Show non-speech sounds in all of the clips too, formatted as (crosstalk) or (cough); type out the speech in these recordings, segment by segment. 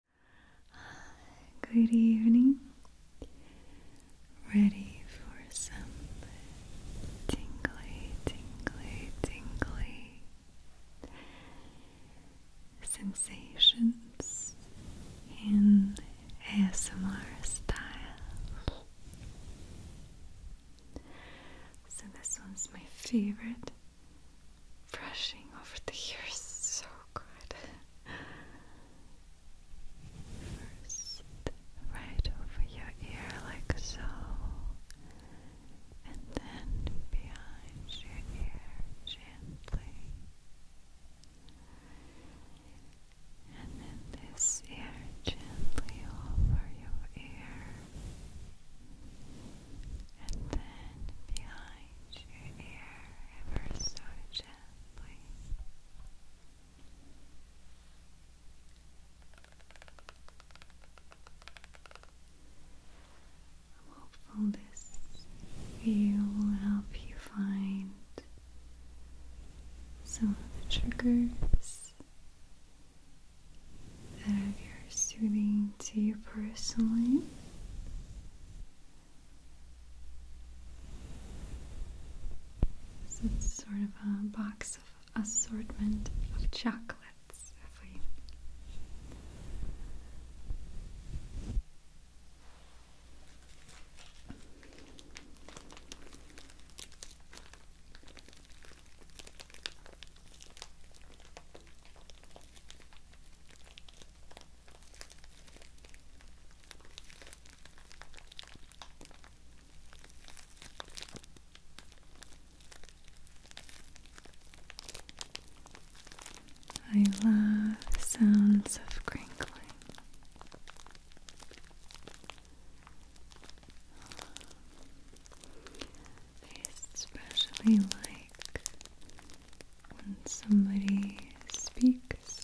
(sighs) Good evening. Ready for some tingly, tingly, tingly sensations in ASMR style. So, this one's my favorite brushing over the ears so good. First, right over your ear, like so, and then behind your ear gently. And then this ear gently over your ear, and then behind Arrange your ear ever so gently. i this will help you find some of the triggers that are very soothing to you personally. So it's sort of a box of assortment of chocolates for you. I love sounds of crinkling. I especially like when somebody speaks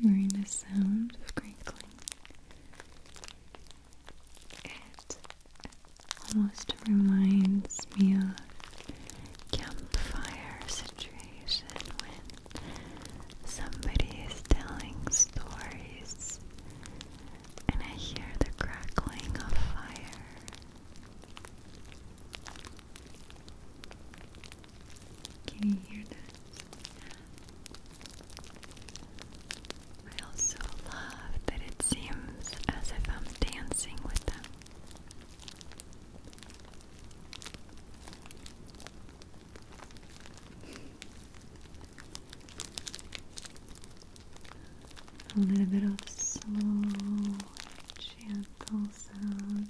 during the sound of crinkling, it almost reminds me of campfire situation when somebody is telling stories and I hear the crackling of fire can you hear that? I also love that it seems as if I'm dancing with them. A little bit of slow gentle sound.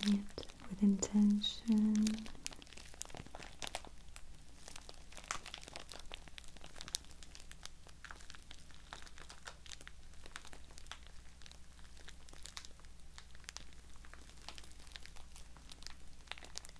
Making it with intention.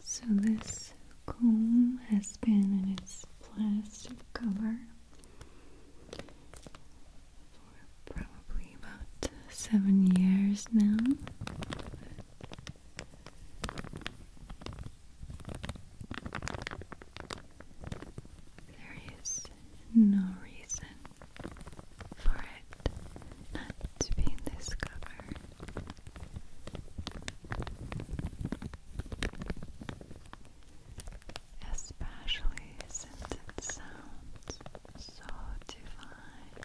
So this comb has been in its plastic cover for probably about seven years now. There is no reason for it not to be in Especially since it sounds so divine.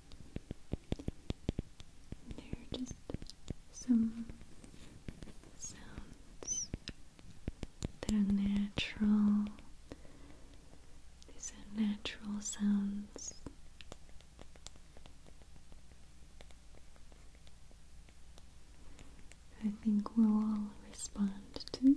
There are just some sounds that are natural. These are natural sounds. I think we'll all respond to.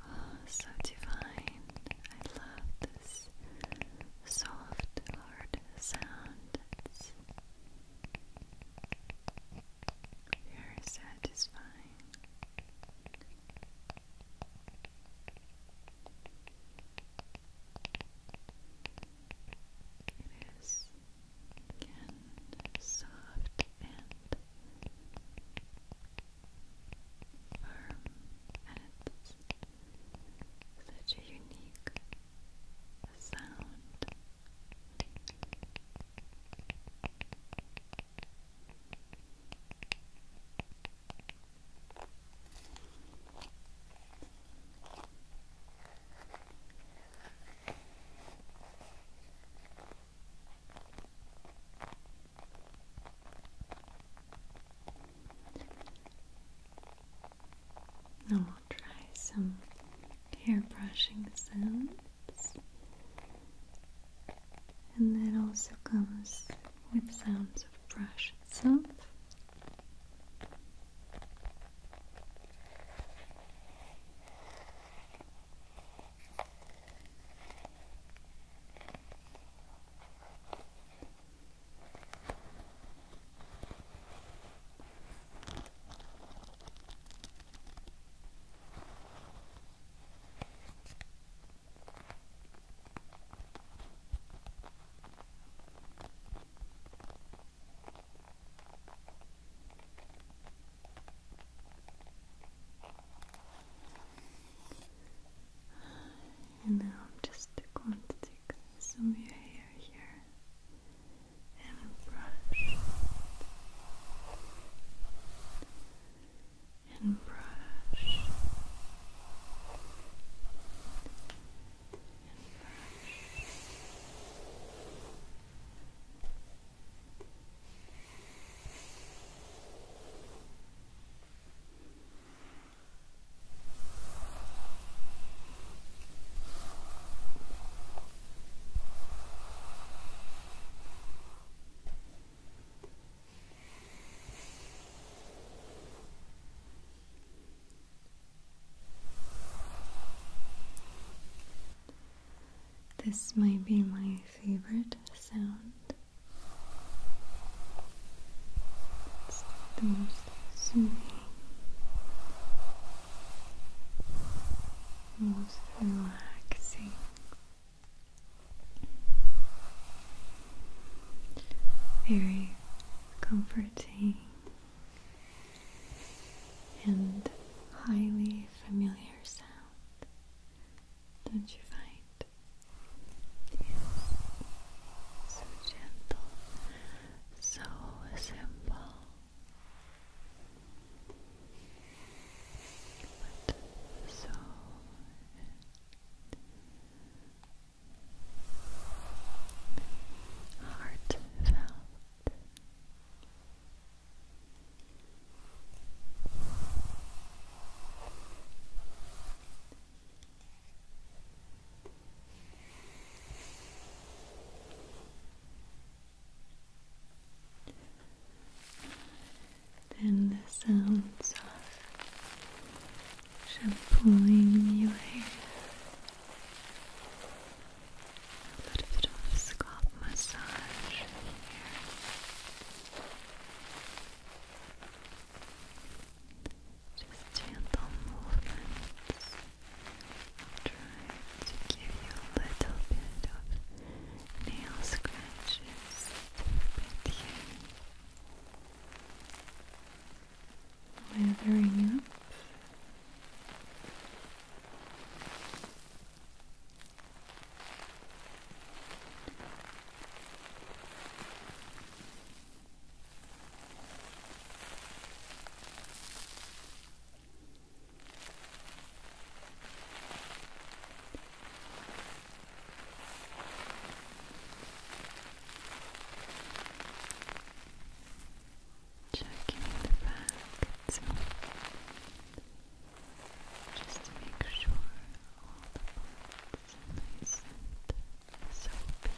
Oh, so divine. I love this soft, hard sound. very satisfying. It is again soft and firm, and it's such a unique sound. Now we'll try some hair brushing sounds and that also comes with sounds of brush itself. And now just to take some of your hair here and brush and brush and brush this might be my favorite sound. It's the most soothing, most relaxing very comforting and highly familiar sound, don't you find? so gentle, so simple, but so heartfelt. Then the sounds of shampooing your hair. A little bit of scalp massage here. Just gentle movements. Try to give you a little bit of nail scratches. Bit here. Weathering up. Checking the facts just to make sure all the parts are nice and soapy.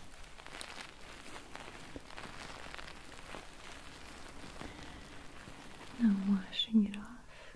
Now washing it off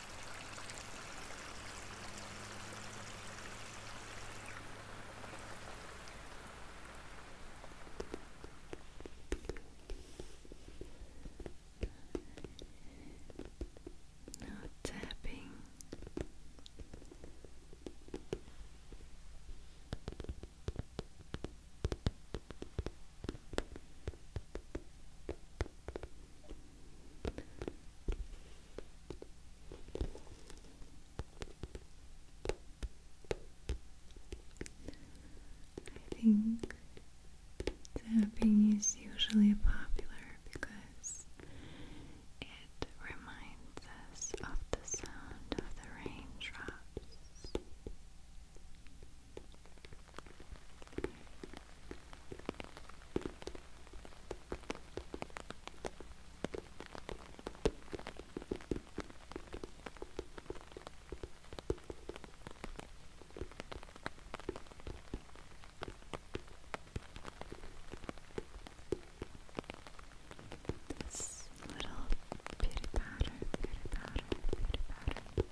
Now tapping. I think tapping is usually popular because it reminds us of the sound of the raindrops. This little beauty powder, beauty powder, beauty powder.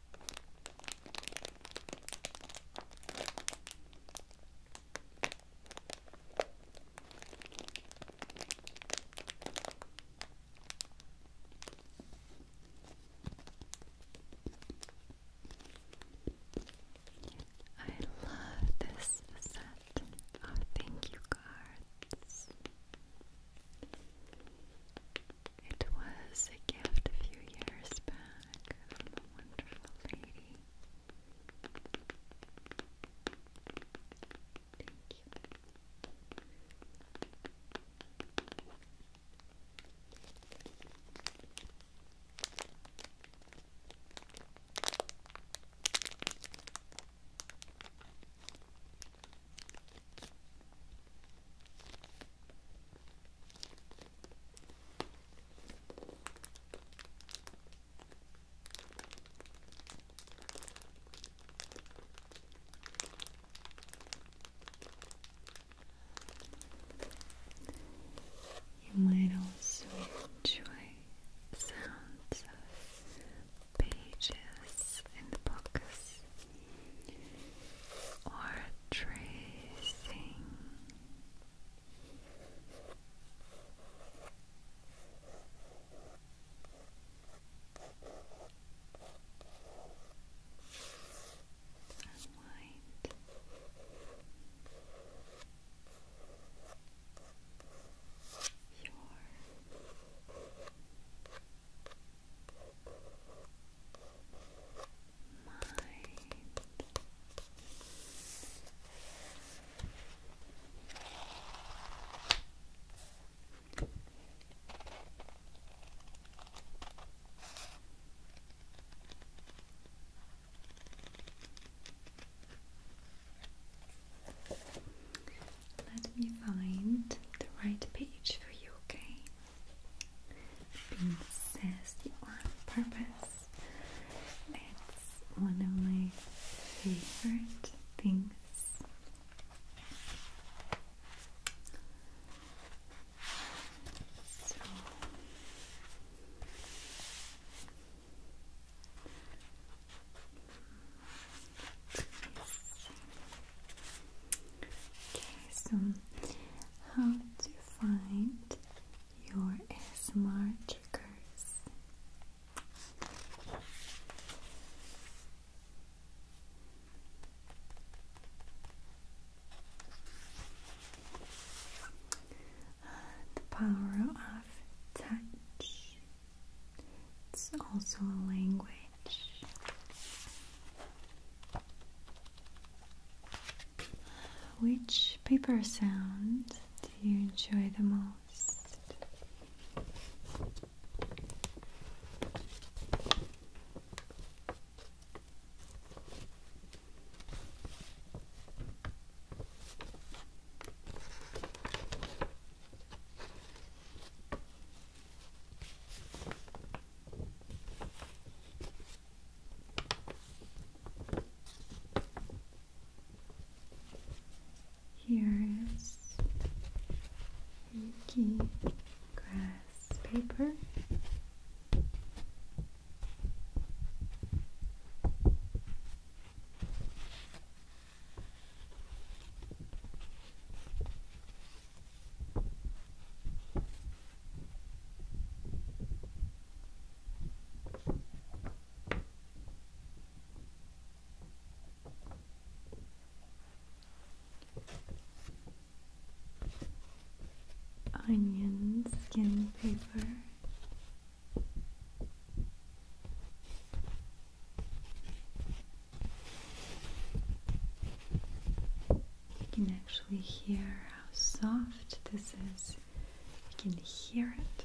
I love this set of thank you cards. It was a gift a few years back from a wonderful lady. You might also enjoy sounds of pages and books or tracing. Sunlight. Your let me find the right page for you, okay? Being sassy on purpose. It's one of my favorite things. So Okay, so how do find your ASMR triggers. The power of touch. It's also a language. Which paper sound do you enjoy the most? Here is Yuki grass paper onion skin paper. You can actually hear how soft this is. You can hear it.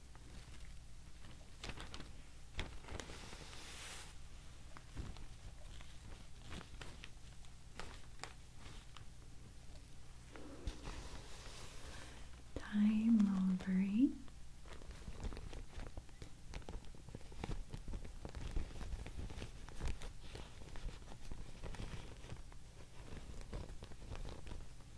Ty Mulberry.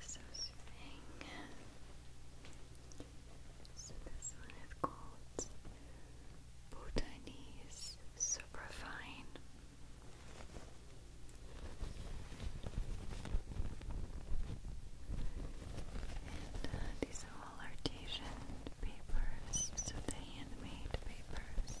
So soothing. So this one is called Bhutanese Superfine. And uh, these are all artisan papers, so the handmade papers.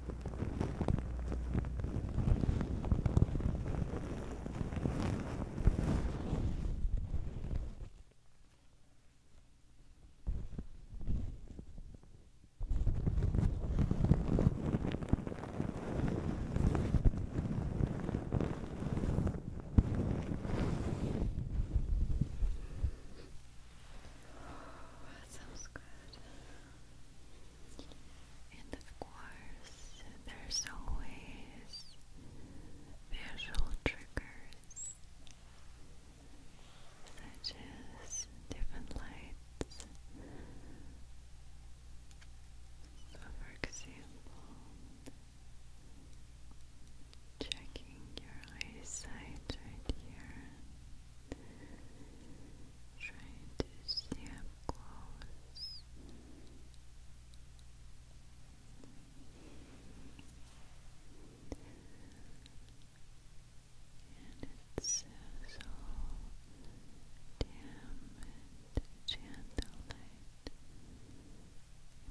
that sounds good. And of course, there's always visual triggers such as different lights. So, for example, checking your eyesight right here, trying to see close. And it's so dim and gentle light.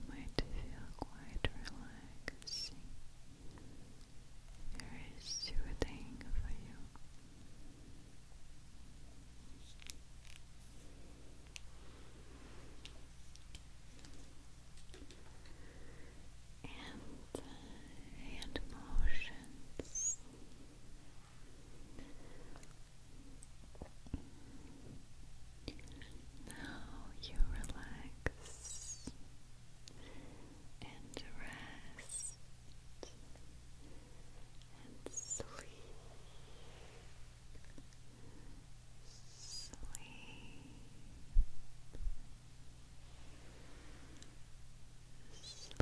might feel quite relaxing. There is soothing for you and uh, hand motions. Now you relax and rest and sleep, sleep. Sleep, sleep.